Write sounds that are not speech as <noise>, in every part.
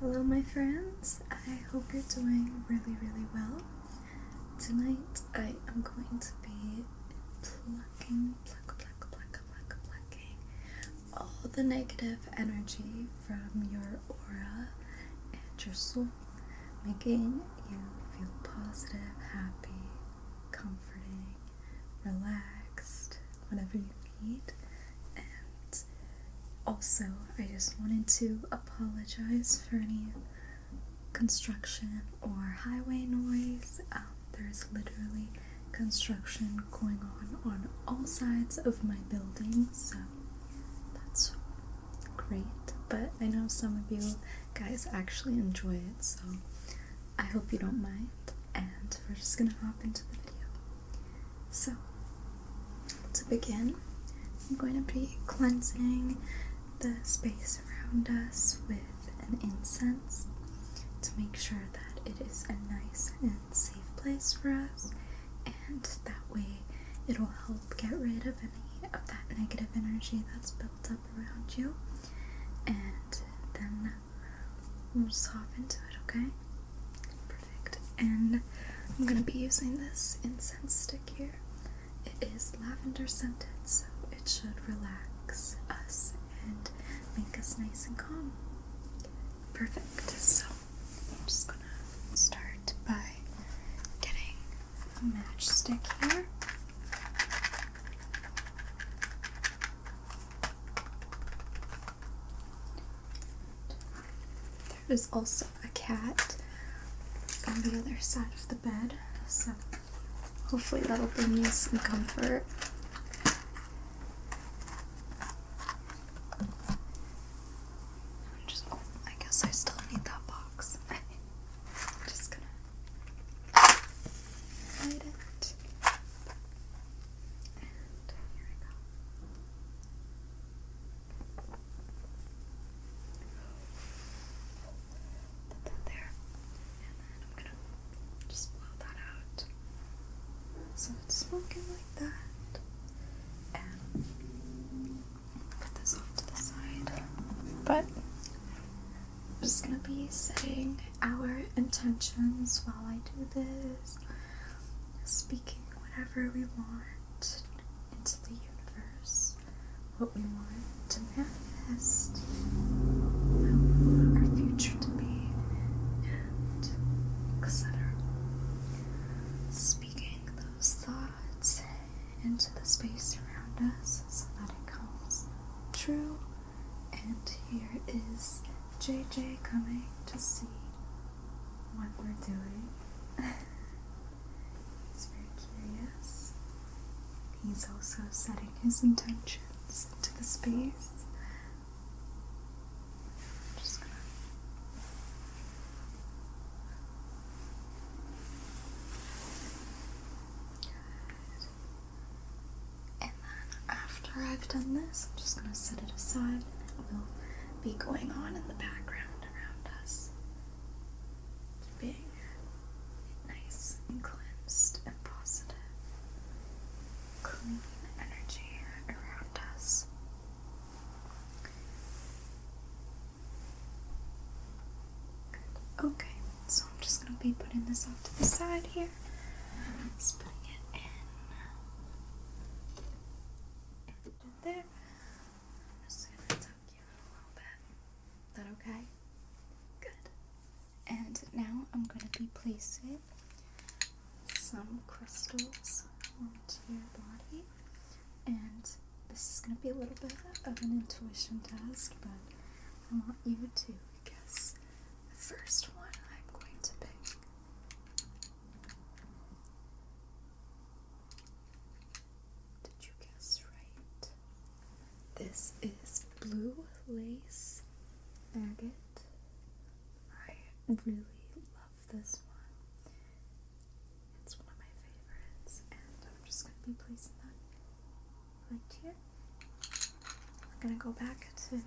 Hello, my friends. I hope you're doing really, really well. Tonight I am going to be plucking, pluck, pluck, pluck, pluck, plucking all the negative energy from your aura and your soul, making you feel positive, happy, comforting, relaxed, whenever you and also, I just wanted to apologize for any construction or highway noise. Um, there's literally construction going on on all sides of my building, so that's great. But I know some of you guys actually enjoy it, so I hope you don't mind. And we're just gonna hop into the video. So, to begin, I'm going to be cleansing the space around us with an incense to make sure that it is a nice and safe place for us, and that way it'll help get rid of any of that negative energy that's built up around you, and then we'll soften into it, okay? And I'm gonna be using this incense stick here. It is lavender scented, so it should relax us and make us nice and calm. Perfect. So I'm just gonna start by getting a matchstick here. There is also a cat on the other side of the bed, so hopefully that'll bring you some comfort. Oh, I guess I still need that box. I'm <laughs> just gonna hide it there. And then I'm gonna just blow that out. So it's smoking like that. And put this off to the side. But I'm just gonna be setting our intentions while I do this speaking whatever we want into the universe, what we want to manifest, our future to be, and etc. Speaking those thoughts into the space around us so that it comes true. And here is JJ coming to see what we're doing. <laughs> He's very curious. He's also setting his intentions into the space. And then after I've done this, I'm just going to set it aside and it will be going on in the background around us. being nice and cleansed and positive. Clean energy around us. Okay, so I'm just going to be putting this off to the side here. Just putting it in there. just gonna tuck you a little bit. Is that okay? Good. And now I'm gonna be placing some crystals onto your body. And this is gonna be a little bit of an intuition test, but I want you to guess the first one I'm going to pick. Did you guess right? This is blue lace agate. I really love this one. It's one of my favorites, and I'm just gonna be placing that right here. I'm gonna go back to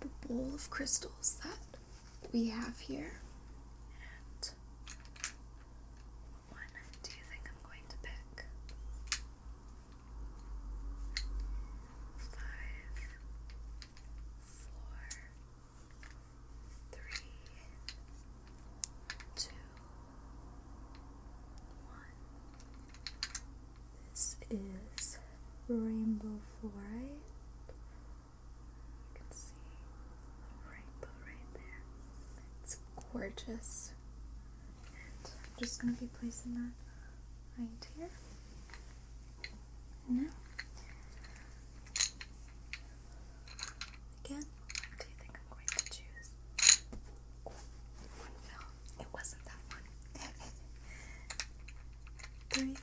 the bowl of crystals that we have here. And one do you think I'm going to pick? Five, four, three, two, one. This is rainbow fluoride. You can see a rainbow right there. It's gorgeous. I'm just going to be placing that right here. Now, again, do you think I'm going to choose one film? It wasn't that one. <laughs> Three,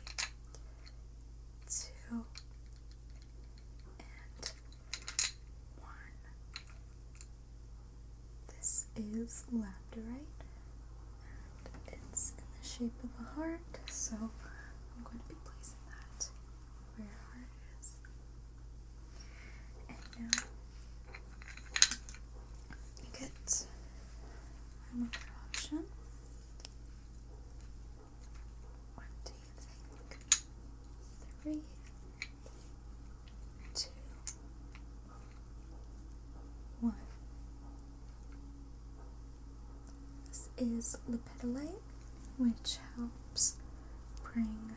two, and one. This is labdarite, and it's in the shape of a heart, so I'm going to be placing that where our heart is. And now you get one option. What do you think? Three, two, one. This is Lepidolite, which helps bring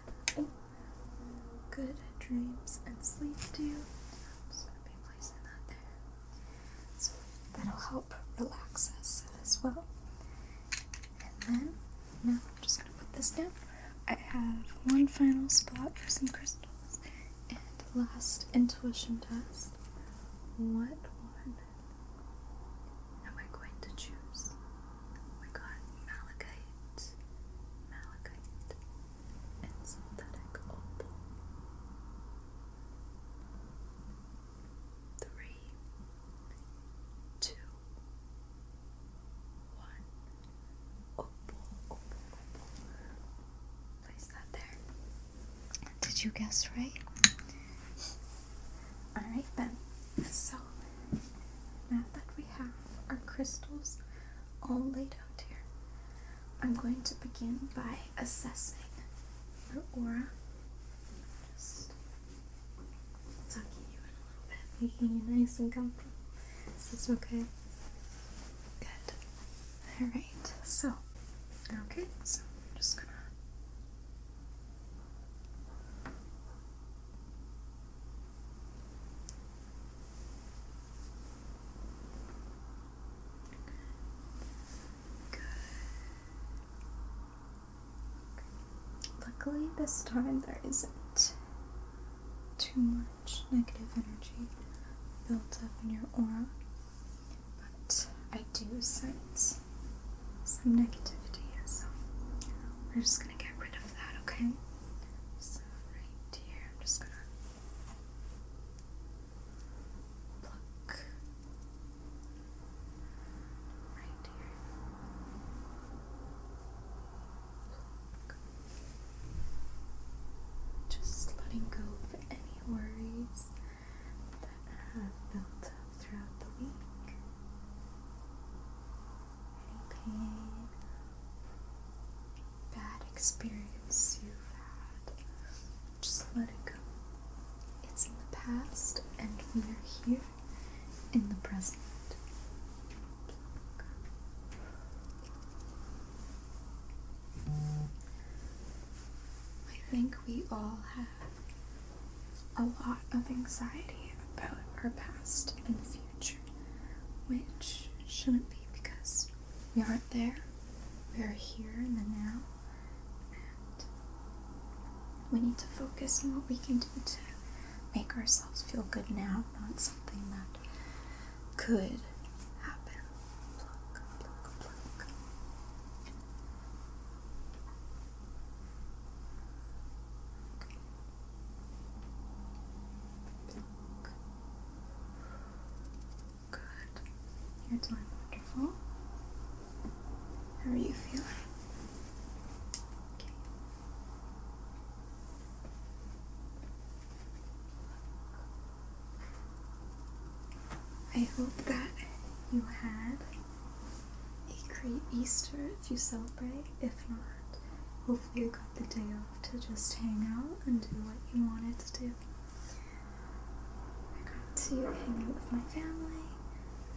good dreams and sleep to you be placing that there. So that'll help relax us as well. And then now I'm just gonna put this down. I have one final spot for some crystals and last intuition test. What one am I going to choose? We got malachite, malachite, Three, two, one. Opal, opal, opal. Place that there. Did you guess right? Alright then. So now that we have our crystals all laid out here. I'm going to begin by assessing your aura. Just tucking you in a little bit, making you nice and comfy. Is this okay? Good. Alright, so, okay, so I'm just gonna. Luckily, this time there isn't too much negative energy built up in your aura, but I do sense some negativity, so we're just gonna get rid of that, okay? right here. I'm just gonna pluck right here. Pluck. Just letting go of any worries that have built up throughout the week pain, bad experience you've had. Just let it go. It's in the past, and we are here in the present. I think we all have a lot of anxiety about our past and future which shouldn't be because we aren't there. We are here in the now, and we need to focus on what we can do to make ourselves feel good now, not something that could happen. Good. you wonderful. How are you feeling? Okay. I hope that you had a great Easter if you celebrate. If not, Hopefully, I got the day off to just hang out and do what you wanted to do. I got to hang out with my family.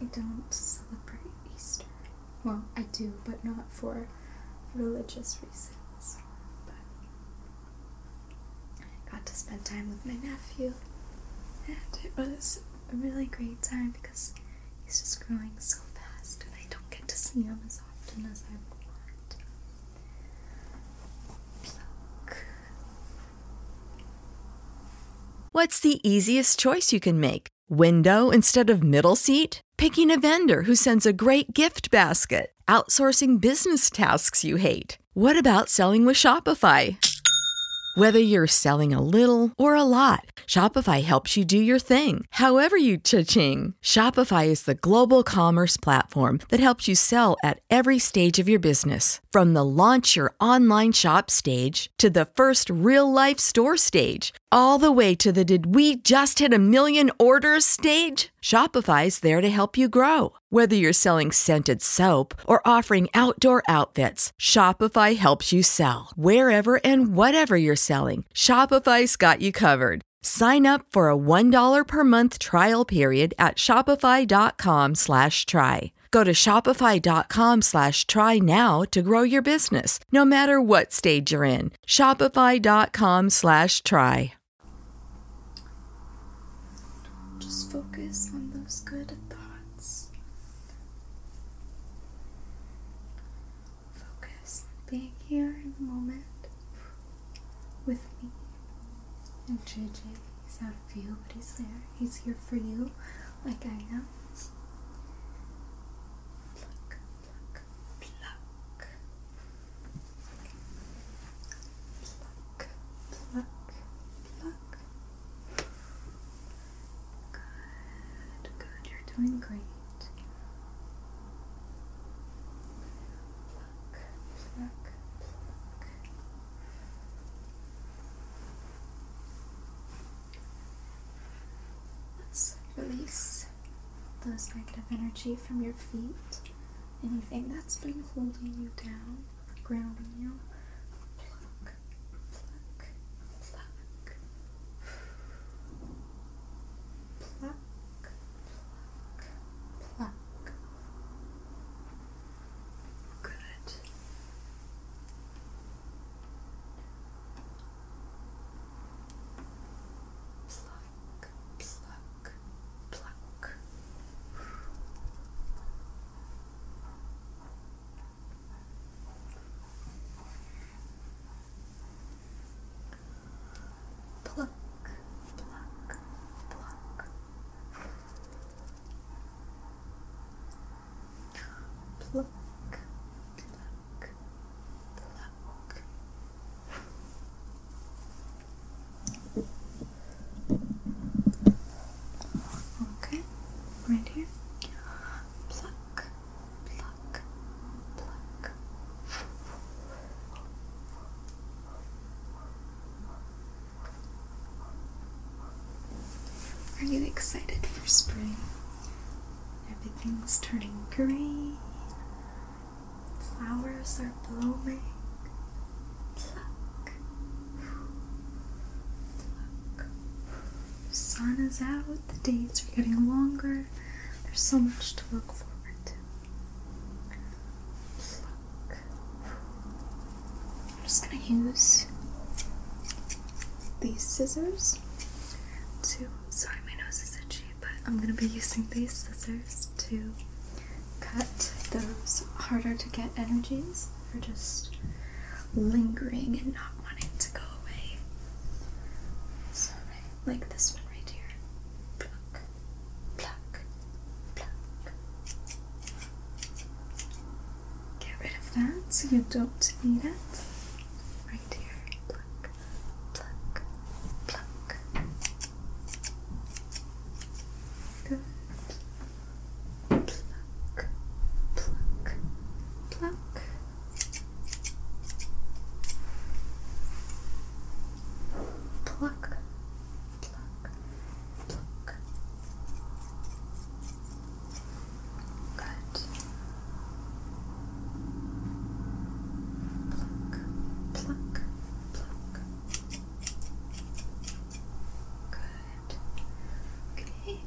I don't celebrate Easter. Well, I do, but not for religious reasons. But I got to spend time with my nephew, and it was a really great time because He's just growing so fast, and I don't get to see him as often as I want. What's the easiest choice you can make? Window instead of middle seat? Picking a vendor who sends a great gift basket? Outsourcing business tasks you hate? What about selling with Shopify? Whether you're selling a little or a lot, Shopify helps you do your thing, however you cha-ching. Shopify is the global commerce platform that helps you sell at every stage of your business. From the launch your online shop stage to the first real life store stage, all the way to the did we just hit a million orders stage? Shopify is there to help you grow. Whether you're selling scented soap or offering outdoor outfits, Shopify helps you sell. Wherever and whatever you're selling, Shopify's got you covered. Sign up for a $1 per month trial period at shopify.com slash try. Go to shopify.com slash try now to grow your business, no matter what stage you're in. Shopify.com slash try. Just focus on those good thoughts. Focus being here in the moment with me. And JJ hes out of view, but he's there. He's here for you, like I am. Pluck, pluck, pluck. Pluck, pluck, pluck. Good, good. You're doing great. Pluck, pluck, Let's release those negative energy from your feet. Anything that's been holding you down, grounding you pluck, pluck, pluck. Good. Pluck, pluck, pluck. Pluck, pluck, pluck. Pluck, pluck, pluck. Okay, right here. Pluck, are you excited for spring? Everything's turning green. Flowers are blooming sun is out, the days are getting longer. There's so much to look forward to. I'm just going to use these scissors to. Sorry, my nose is itchy, but I'm going to be using these scissors to cut those harder to get energies that just lingering and not wanting to go away. So like this one right here. Pluck, pluck, pluck. Get rid of that so you don't need it. Right here. Pluck, pluck, pluck. Good. Pluck, pluck, pluck. Pluck, pluck, pluck. Good. Pluck, pluck, pluck. Good. Okay.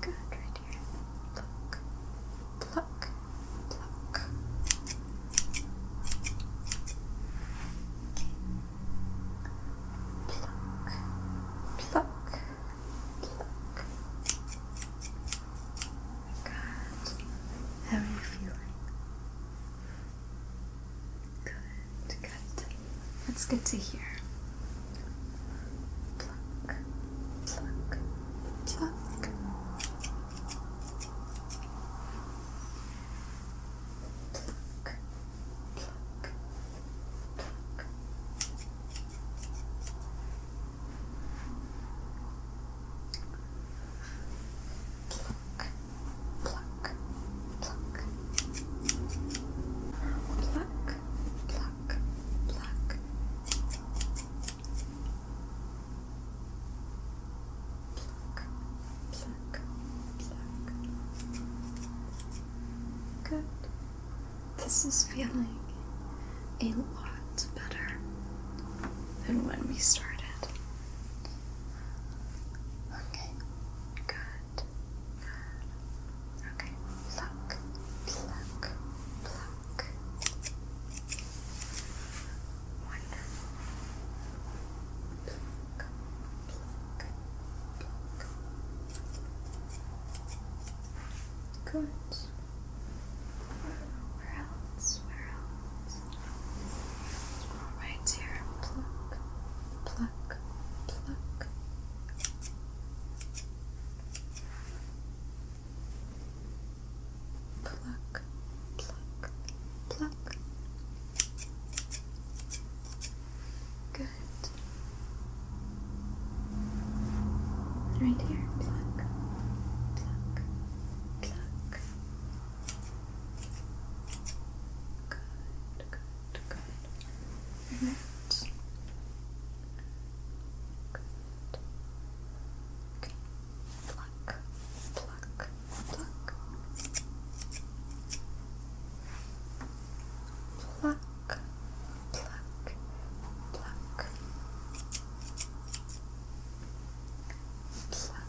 Good, right here. Pluck, pluck, pluck. Okay. Pluck, pluck, pluck. Good. How are you feeling? Good, good. That's good to hear. Pluck, pluck, pluck. pluck, pluck. Pluck, pluck, pluck, pluck, pluck, pluck. Pluck, Good. This is feeling a lot better than when we started. Okay, good. Okay, pluck, pluck, pluck. Wonderful. Pluck, pluck, pluck. Good. Where else? Where else? Right here, pluck, pluck, pluck. Pluck, pluck, pluck. Good. Right here, pluck, pluck, pluck. Good, good, good. Right. Good. Okay. pluck, pluck. Pluck, pluck, pluck. Pluck,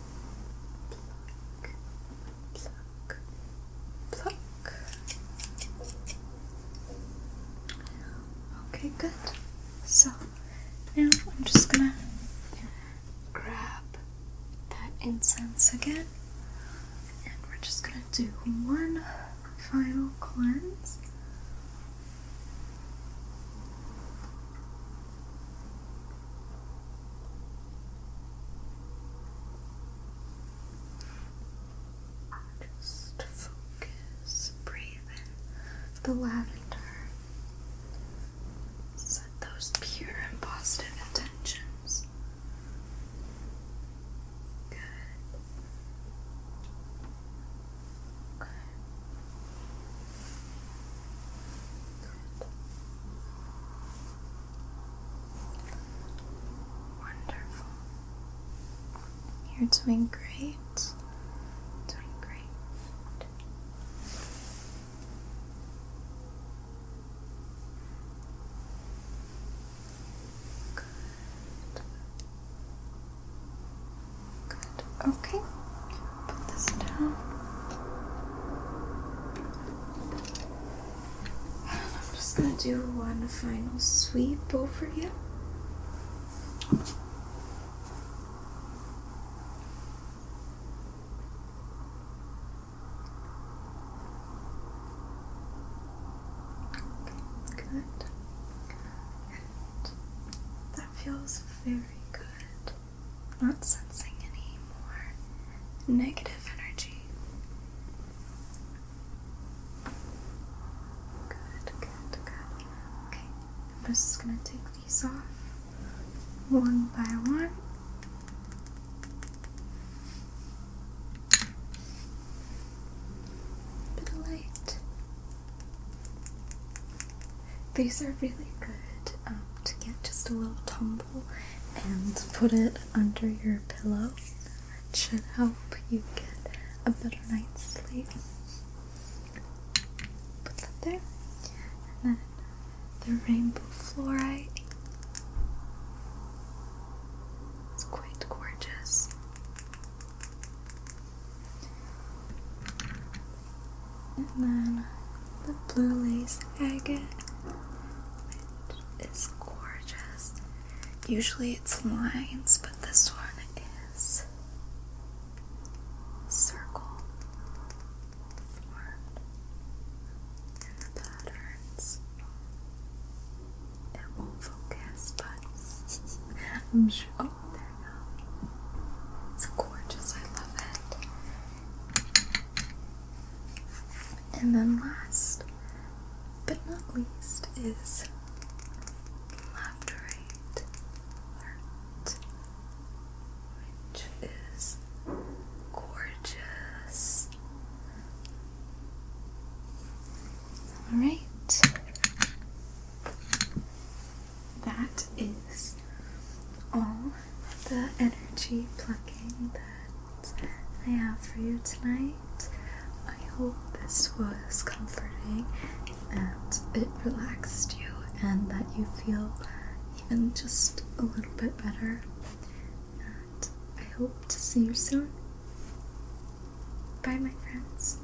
Okay, good. So now I'm just gonna grab that incense again, and we're just gonna do one final cleanse. Just focus, breathe in the lavender. Set those pure and positive intentions. Good. Okay. Wonderful. You're doing great. Doing great. Good. Good. Okay. Put this down. I'm just gonna do one final sweep over here. Okay, good. Good. That feels very good not sensing any more negative energy. Good, good, good. Okay, I'm just gonna take these off one by one. Bit of light. These are really good um, to get just a little tumble and put it under your pillow. It should help you get a better night's sleep. Put that there. And then the rainbow fluorite. It's quite gorgeous. And then the blue lace agate, which is gorgeous. Usually it's lines, but this one is circle formed the patterns. It won't focus, but <laughs> I'm sure. Oh, there you go. It's gorgeous. I love it. And then last but not least is Labradorite which is gorgeous. All right that is all the energy plucking that I have for you tonight. I hope this was comforting and it relaxed you and that you feel even just a little bit better. And I hope to see you soon. Bye, my friends.